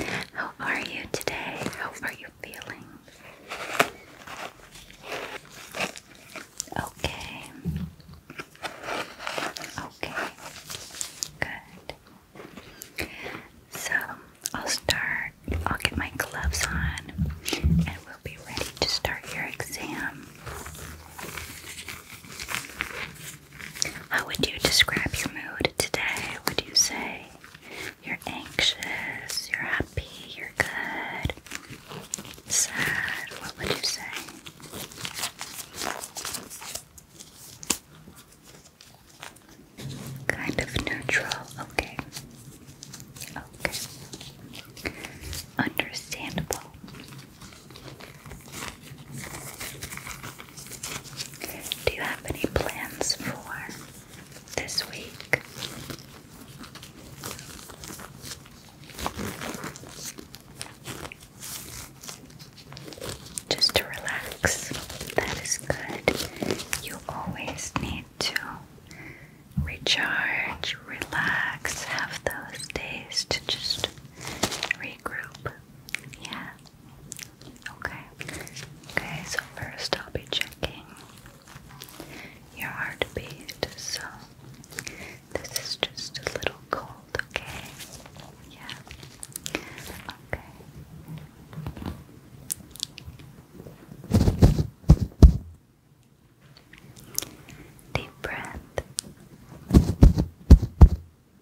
How are you today? How are you feeling? Okay. Okay. Good. So I'll start. I'll get my gloves on and we'll be ready to start your exam. How would you describe your mood? mood today? Would you say you're anxious, you're happy, you're good, sad? What would you say? Kind of neutral, okay. Okay. Understandable. Do you have any plans for this week? Just to relax. That is good. You always need to recharge, relax, have those days to just regroup. Yeah. Okay. Okay, so first I'll be checking your heartbeat. So this is just a little cold, okay? Yeah. Okay. Deep breath.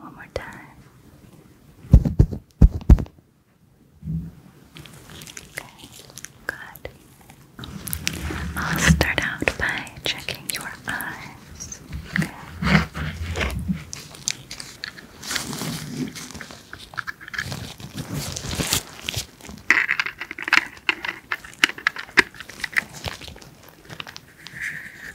One more time. Okay, good. I'll start out by checking your eyes.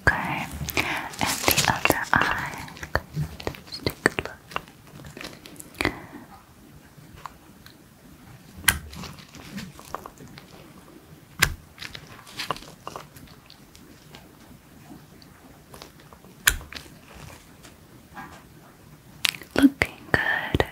Okay, and the other eye. take a look. Looking good.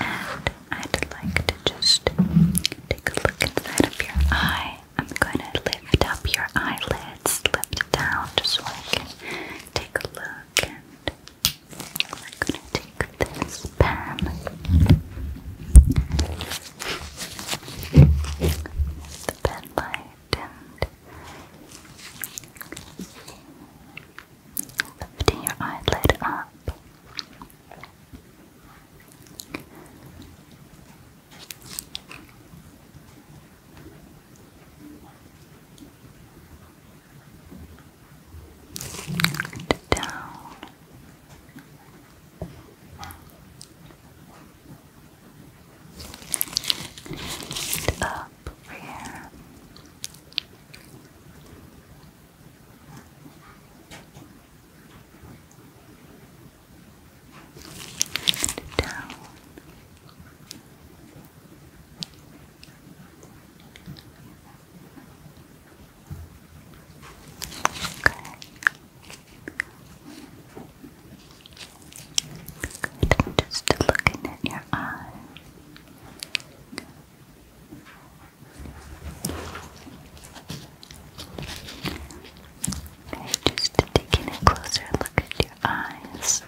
And I'd like to just take a look inside of your eye. I'm going to lift up your eyelids, lift it down just so I can take a look. And I'm going to take this pen. The pen light and lifting your eyelid up. down. up up over down. Okay. just looking at your eye. Okay, just taking a closer look at your eyes.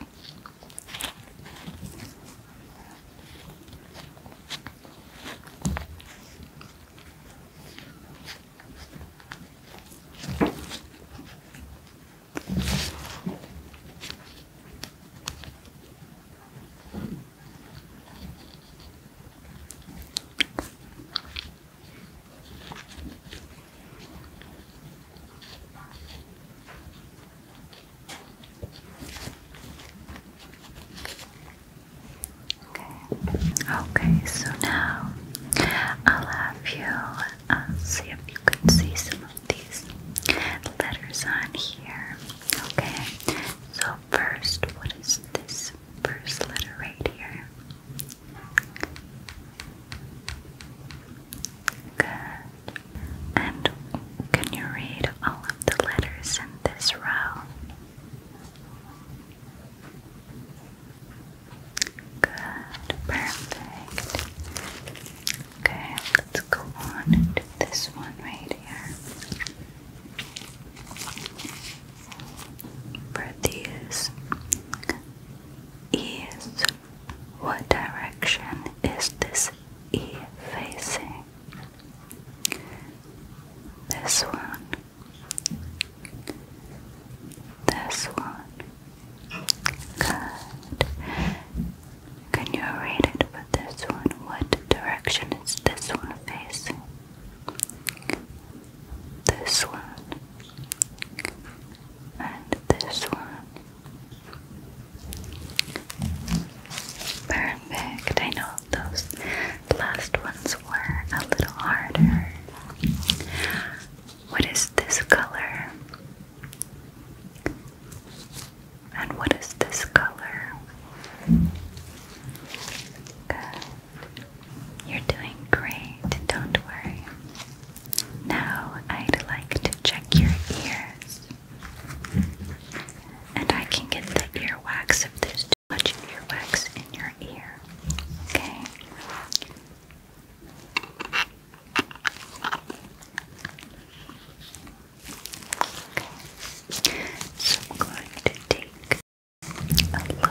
Okay, okay, so now I'll have you uh, see if you can see some these letters on here. Okay, so first, what is this first letter right here? Good. And can you read all of the letters in this row? Good, perfect. Okay, let's go on and this one right here. For these what direction is this E facing? This one, this one, good. Can you read it for this one? What direction is this one facing? This one. And this one. Perfect. I know those last ones were a little harder. What is this color? And what is this color? You're doing great, don't worry. Now I'd like to check your ears. And I can get the earwax if there's too much earwax in your ear. Okay? Okay. So I'm going to take a look.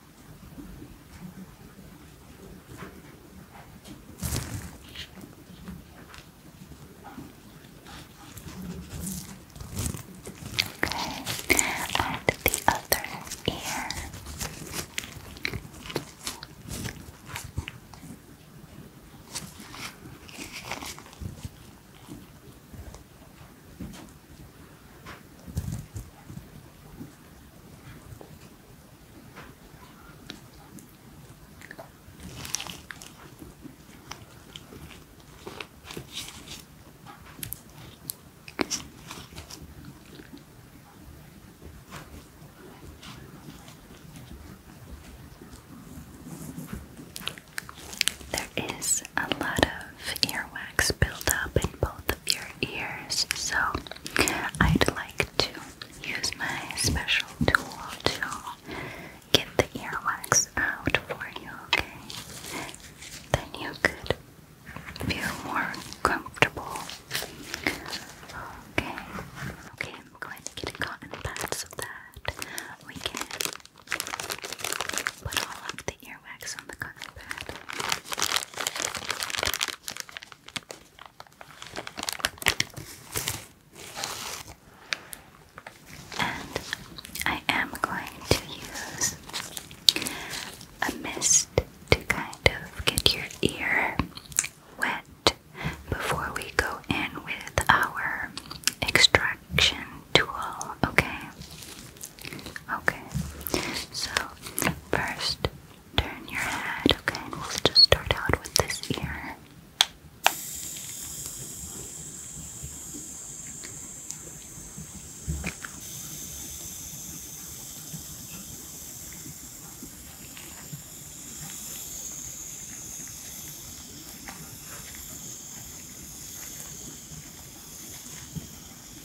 Okay, and the other ear. There is a lot of earwax built up in both of your ears. So I'd like to use my special tool to get the earwax out for you, okay? Then you could feel more comfortable. Okay. Okay, I'm going to get a cotton pad so that we can put all of the ear wax on the cotton pad. I am going to use a mist to kind of get your ear wet before we go in with our extraction tool, okay? Okay, so first turn your head, okay, we'll just start out with this ear.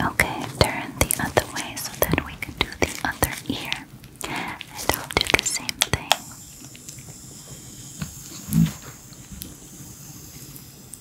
Okay, turn the other way so that we can do the other ear. And I'll do the same thing.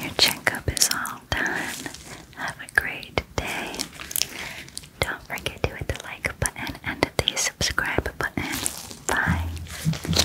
Your checkup is all done. Have a great day. Don't forget to hit the like button and the subscribe button. Bye.